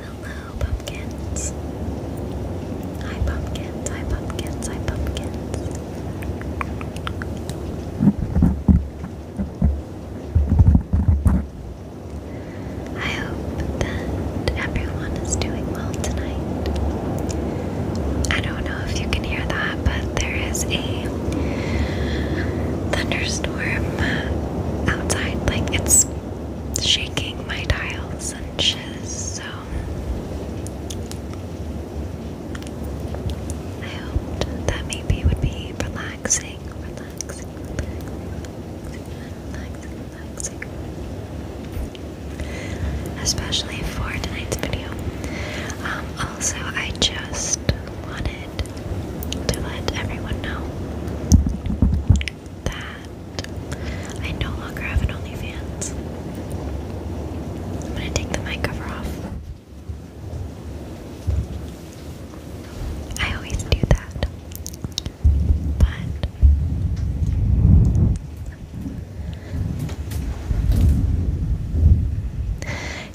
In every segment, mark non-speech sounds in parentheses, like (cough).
Hello, pumpkins. Hi, pumpkins. Hi, pumpkins. Hi, pumpkins. I hope that everyone is doing well tonight. I don't know if you can hear that, but there is a thunderstorm outside. Like it's shaking my tiles and shiz, so I hoped that maybe it would be relaxing, relaxing, relaxing, relaxing, Especially for tonight's video. Um, also, I just wanted to let everyone know that I no longer have an OnlyFans. I'm gonna take the mic cover off. I always do that. But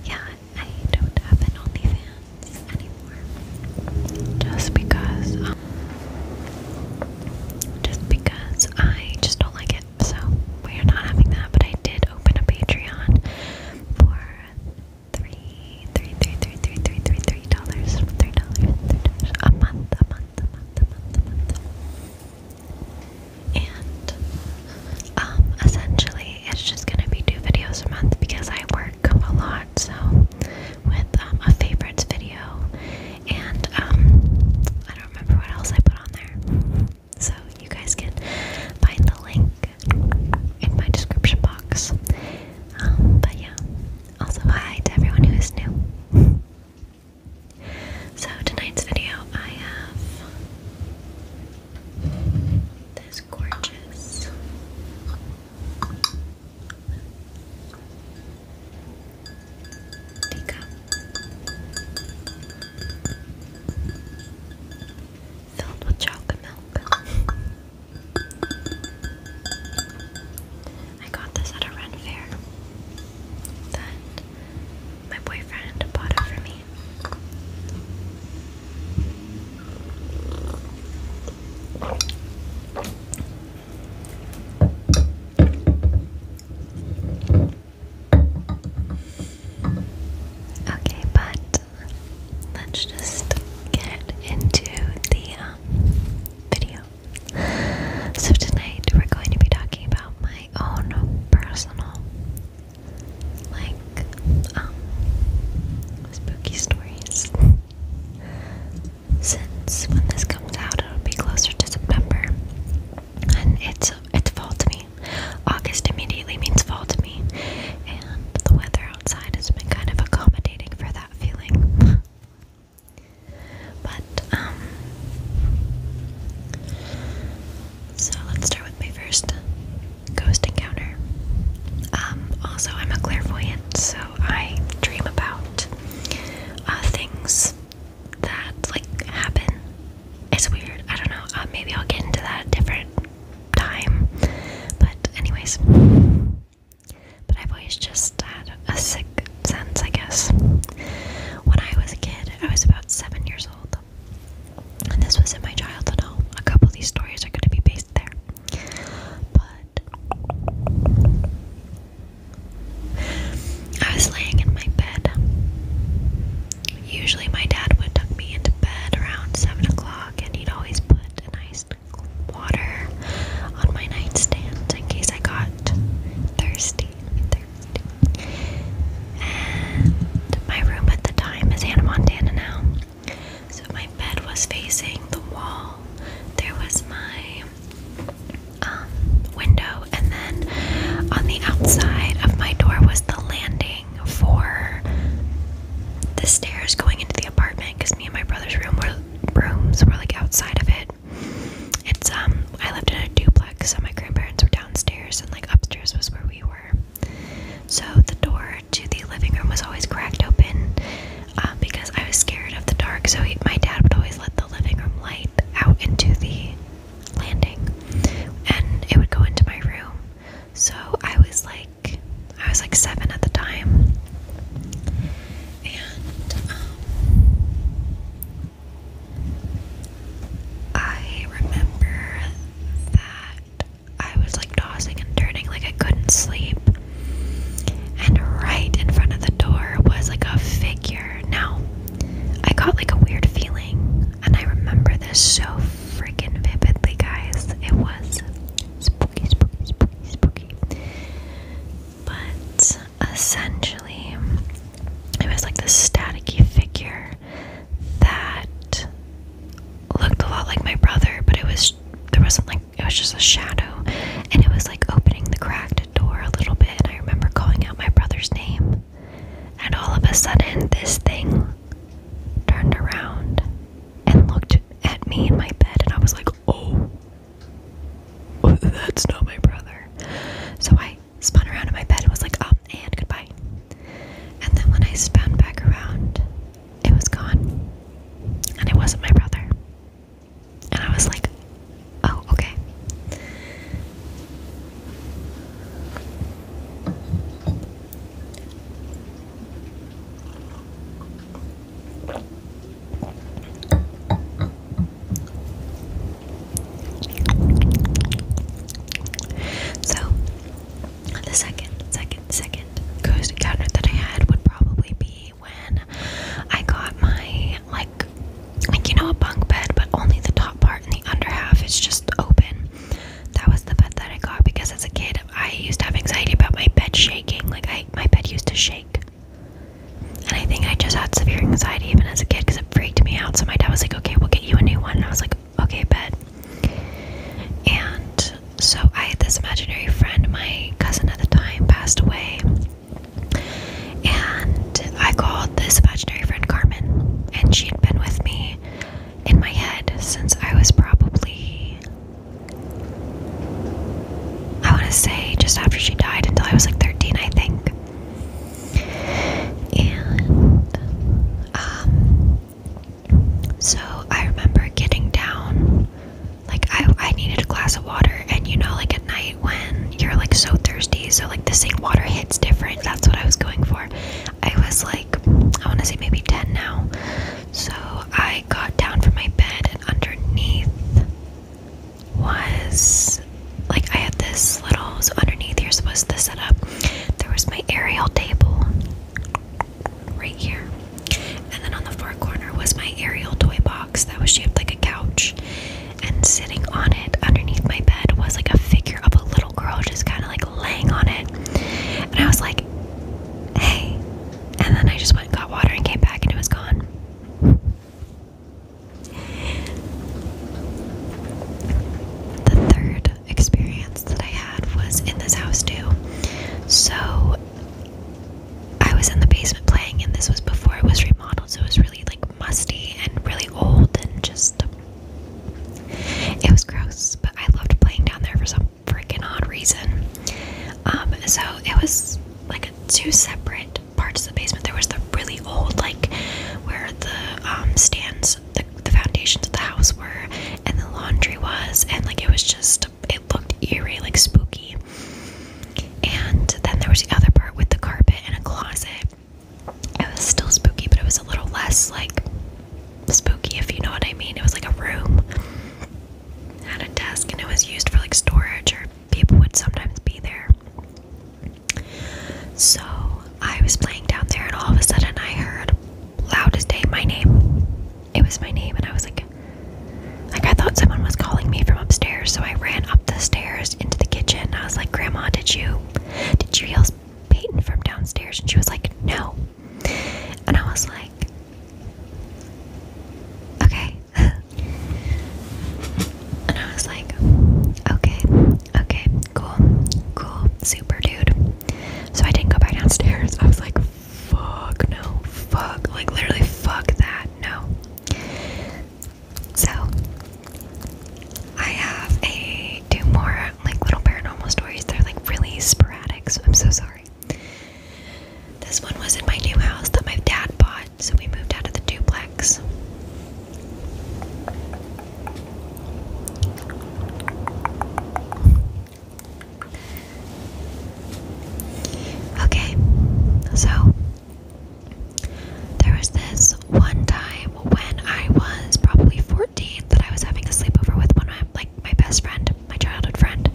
yeah, I don't have an OnlyFans anymore. Just because, um, just because I just don't like it. So we are not having that. But I did open a Patreon for three, three, three, three, three, three, three, three dollars, three dollars a month, a month. And um, essentially, it's just gonna be two videos a month because I work a lot. So, with um, a favorites video, and um, I don't remember what else I put on there. So, you guys can find the link in my description box. Um, but yeah, also hi to everyone who is new. So tonight's video I have this gorgeous teacup filled with chocolate milk. I got this at a Ren fair that my boyfriend bought it for me. Okay, but let's just get into the um, video. So, tonight we're going to be talking about my own personal, like, um, spooky stories. Since when this comes out, it'll be closer to September, and it's it's fall to me. August immediately means fall to me, and the weather outside has been kind of accommodating for that feeling. But, um, so let's start with my first ghost encounter. Um, also, I'm a clairvoyant, so I dream about uh, things that like happen. It's weird. I don't know. Uh, maybe I'll get into that different time. But, anyways. But I've always just had a sick sense, I guess. When I was a kid, I was about seven years old. And this was in my childhood A couple of these stories are going to be based there. But. I was laying in my bed. Usually, my dad would tuck me into bed around 7 o'clock, and he'd always put an iced water on my nightstand in case I got thirsty. thirsty. And my room at the time is Hannah Montana now. So my bed was facing the wall. There was my um, window, and then on the outside of my door was the landing for the stairs going into the apartment because me and my brother's room were rooms were like outside of it. It's um I lived in a duplex, so my grandparents were downstairs and like upstairs was where we were. So the door to the living room was always cracked open um, because I was scared of the dark. So my dad would always let the living room light out into the landing, and it would go into my room. So I was like, I was like seven at the time, and um, I remember that I was like tossing and turning, like I couldn't sleep. And right in front of the door was like a figure. Now, I got like a weird feeling, and I remember this so freaking vividly, guys. It was spooky, spooky, spooky, spooky. But essentially, it was like this staticky figure that looked a lot like my brother, but it was there wasn't like it was just a shadow, and it was like opening the cracked door a little bit. And I remember calling out my brother's name, and all of a sudden, this thing turned around and looked at me in my bed, and I was like, "Oh that's not my brother. So I spun around in my bed and was like, up um, and goodbye. And then when I spun back around, it was gone. And it wasn't my brother. And I was like, oh, okay. So the second, second, second ghost encounter that I had would probably be when I got my like like you know a bunk bed, but only the top part and the under half is just open. That was the bed that I got because as a kid I used to have anxiety about my bed shaking. Like I my bed used to shake. And I think I just had severe anxiety even as a kid because it freaked me out. So my dad was like, okay, we'll get you a new one. And I was like, okay, bet. And so I had this imaginary friend, my cousin at the time passed away. And I called this imaginary friend Carmen. And she'd been with me in my head since I was probably I want to say just after she died until I was like 13, I think. And, um, so I remember getting down, like, I, I needed a glass of water, and you know, like, at night when you're like so thirsty, so like the sink water hits different. That's what I was going for. I was like, I want to say maybe 10 now. So I got down from my bed, and underneath was like I had this little. So underneath here was the setup. There was my aerial table right here, and then on the far corner was my aerial toy box that was shaped like a couch. And sitting on it underneath my bed was like a figure of a little girl just kind of like laying on it. And I was like, hey, and then I just went and got water and came back and it was gone. The third experience that I had was in this house too. So I was in the basement playing, and this was before it was remodeled, so it was really like musty and really old and just. It was gross, but I loved playing down there for some freaking odd reason. Um, so it was like two separate parts of the basement. There was the really old, like where the um, stands, the foundations of the house were, and the laundry was, and like it was just, it looked eerie, like spooky. And then there was the other part with the carpet and a closet. It was still spooky, but it was a little less like spooky, if you know what I mean. It was like a room, had a desk, and it was used for like storage, or people would sometimes be there. So I was playing down there, and all of a sudden I heard loud as day my name. It was my name, and I was like, like I thought someone was calling me from upstairs, so I ran up the stairs into the kitchen. I was like, "Grandma, did you, did you yell Peyton from downstairs?" And she was like, "No." And I was like, okay. (laughs) and I was like, okay, okay, cool, cool, super dude. So I didn't go back downstairs. I was like, fuck, no, fuck, like literally, fuck that, no. So I have a two more like little paranormal stories. They're like really sporadic, so I'm so sorry. This one was in my new house that my dad bought, so we moved out of the duplex. Okay, so there was this one time when I was probably 14 that I was having a sleepover with one of my, like my best friend, my childhood friend,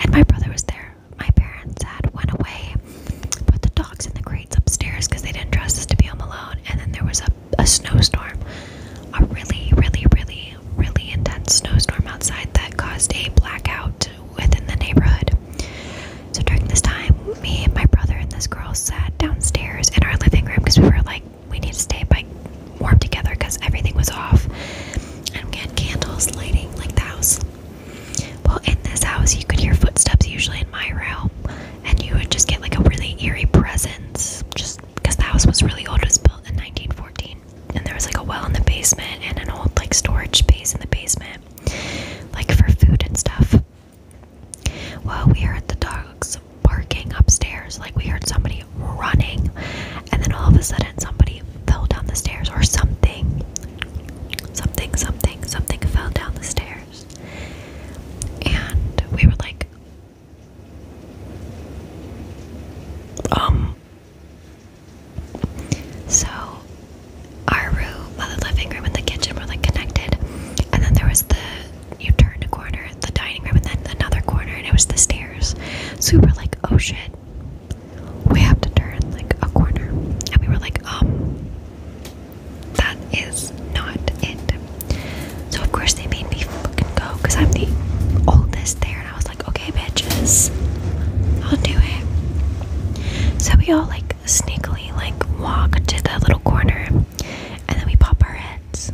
and my brother was there. My parents had went away, put the dogs in the crates upstairs because they didn't trust us to be home alone. And then there was a, a snowstorm, a really, really, really, really intense snowstorm outside that caused a blackout within the neighborhood. So during this time, me and my brother and this girl sat downstairs in our living room because we were like we need to stay by warm together because everything was off. And we had candles lighting like the house. Well, in this house, you could hear footsteps usually in my room, and you would just get like a really eerie presence just because the house was really old. It was built in 1914, and there was like a well in the basement and an old like storage space in the basement, like for food and stuff. Well, we heard the dogs barking upstairs, like we heard somebody running, and then all of a sudden somebody fell down the stairs or something. Something, something, something fell down the stairs. And we were like, um. So, our room, uh, the living room and the kitchen were like connected, and then there was the you turned a corner the dining room, and then another corner, and it was the stairs. So we were like, oh shit, we have to turn like a corner. And we were like, um, that is not it. So of course they made me fucking go because I'm the oldest there, and I was like, okay, bitches, I'll do it. So we all like sneakily like walk to the little corner, and then we pop our heads.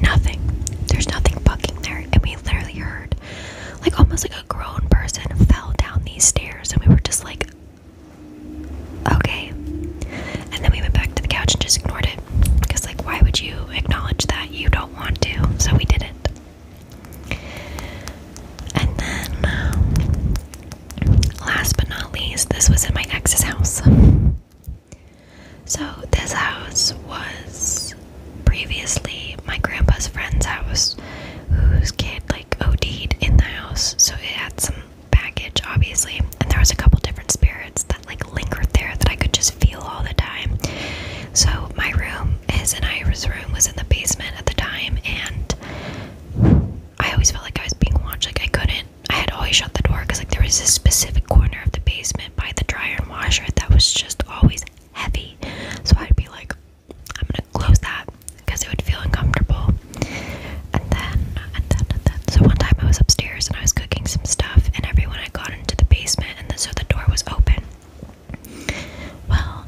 Nothing. There's nothing fucking there. And we literally heard, like, almost like a grown person fell down these stairs. And we were just like, okay. And then we went back to the couch and just ignored it. Because, like, why would you acknowledge that you don't want to? So we didn't. And then, um, last but not least, this was in my ex's house. So, this house was previously my grandpa's friend's house, whose kid like OD'd in the house, so it had some baggage, obviously. And there was a couple different spirits that like lingered there that I could just feel all the time. So, my room, his and Ira's room, was in the basement at the time, and I always felt like I was being watched. Like I couldn't I had always shut the door because like there was this specific corner of the basement by the dryer and washer that was just always heavy. So I'd be like, I'm gonna close that because it would feel uncomfortable. And then, and then, and then. So one time I was upstairs and I was cooking some stuff, and everyone had got into the basement, and so the door was open. Well,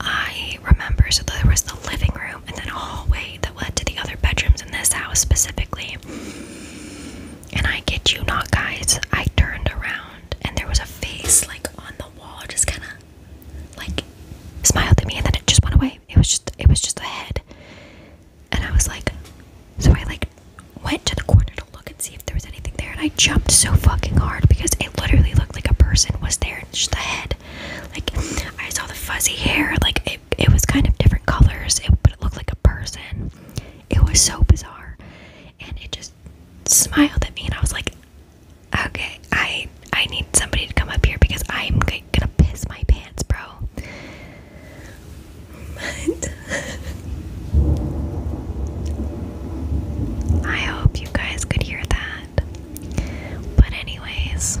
I remember so there was the living room and then a hallway that led to the other bedrooms in this house specifically. And I get you not, guys, I turned around and there was a face like on the wall, just kind of like smiled at me, and then it just went away. It was just, it was just a head. And I was like, so I like went to the corner to look and see if there was anything there, and I jumped so fucking hard because it literally looked like a person was there, and just a head. Like I saw the fuzzy hair, like it it, was kind of different colors, it, but it looked like a person. It was so bizarre, and it just smiled at me, and I was like, "Okay, I I need somebody to come up here because I'm gonna piss my pants, bro." I hope you guys could hear that. But anyways,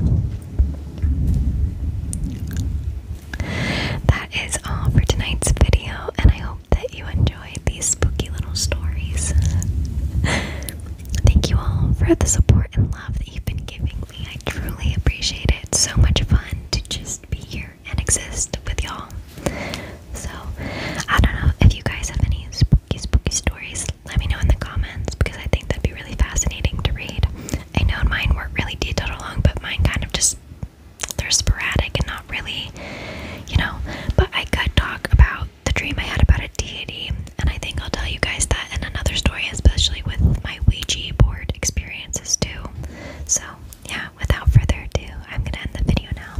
that is all for tonight's video, and I hope that you enjoyed these spooky little stories. Thank you all for the support and love that you've been giving me. I truly appreciate it. so much fun to just be here and exist with y'all. So, I don't know if you guys have any spooky, spooky stories. Let me know in the comments because I think that'd be really fascinating to read. I know mine weren't really detailed or but mine kind of just they're sporadic and not really, you know. But I could talk about the dream I had about a deity, and I think I'll tell you guys that in another story, especially with my Ouija board experiences too. So, yeah, without further ado, I'm gonna end the video now.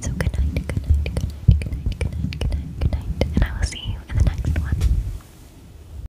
So, good night, good night, good night, good night, good night, good night, good night, and I will see you in the next one.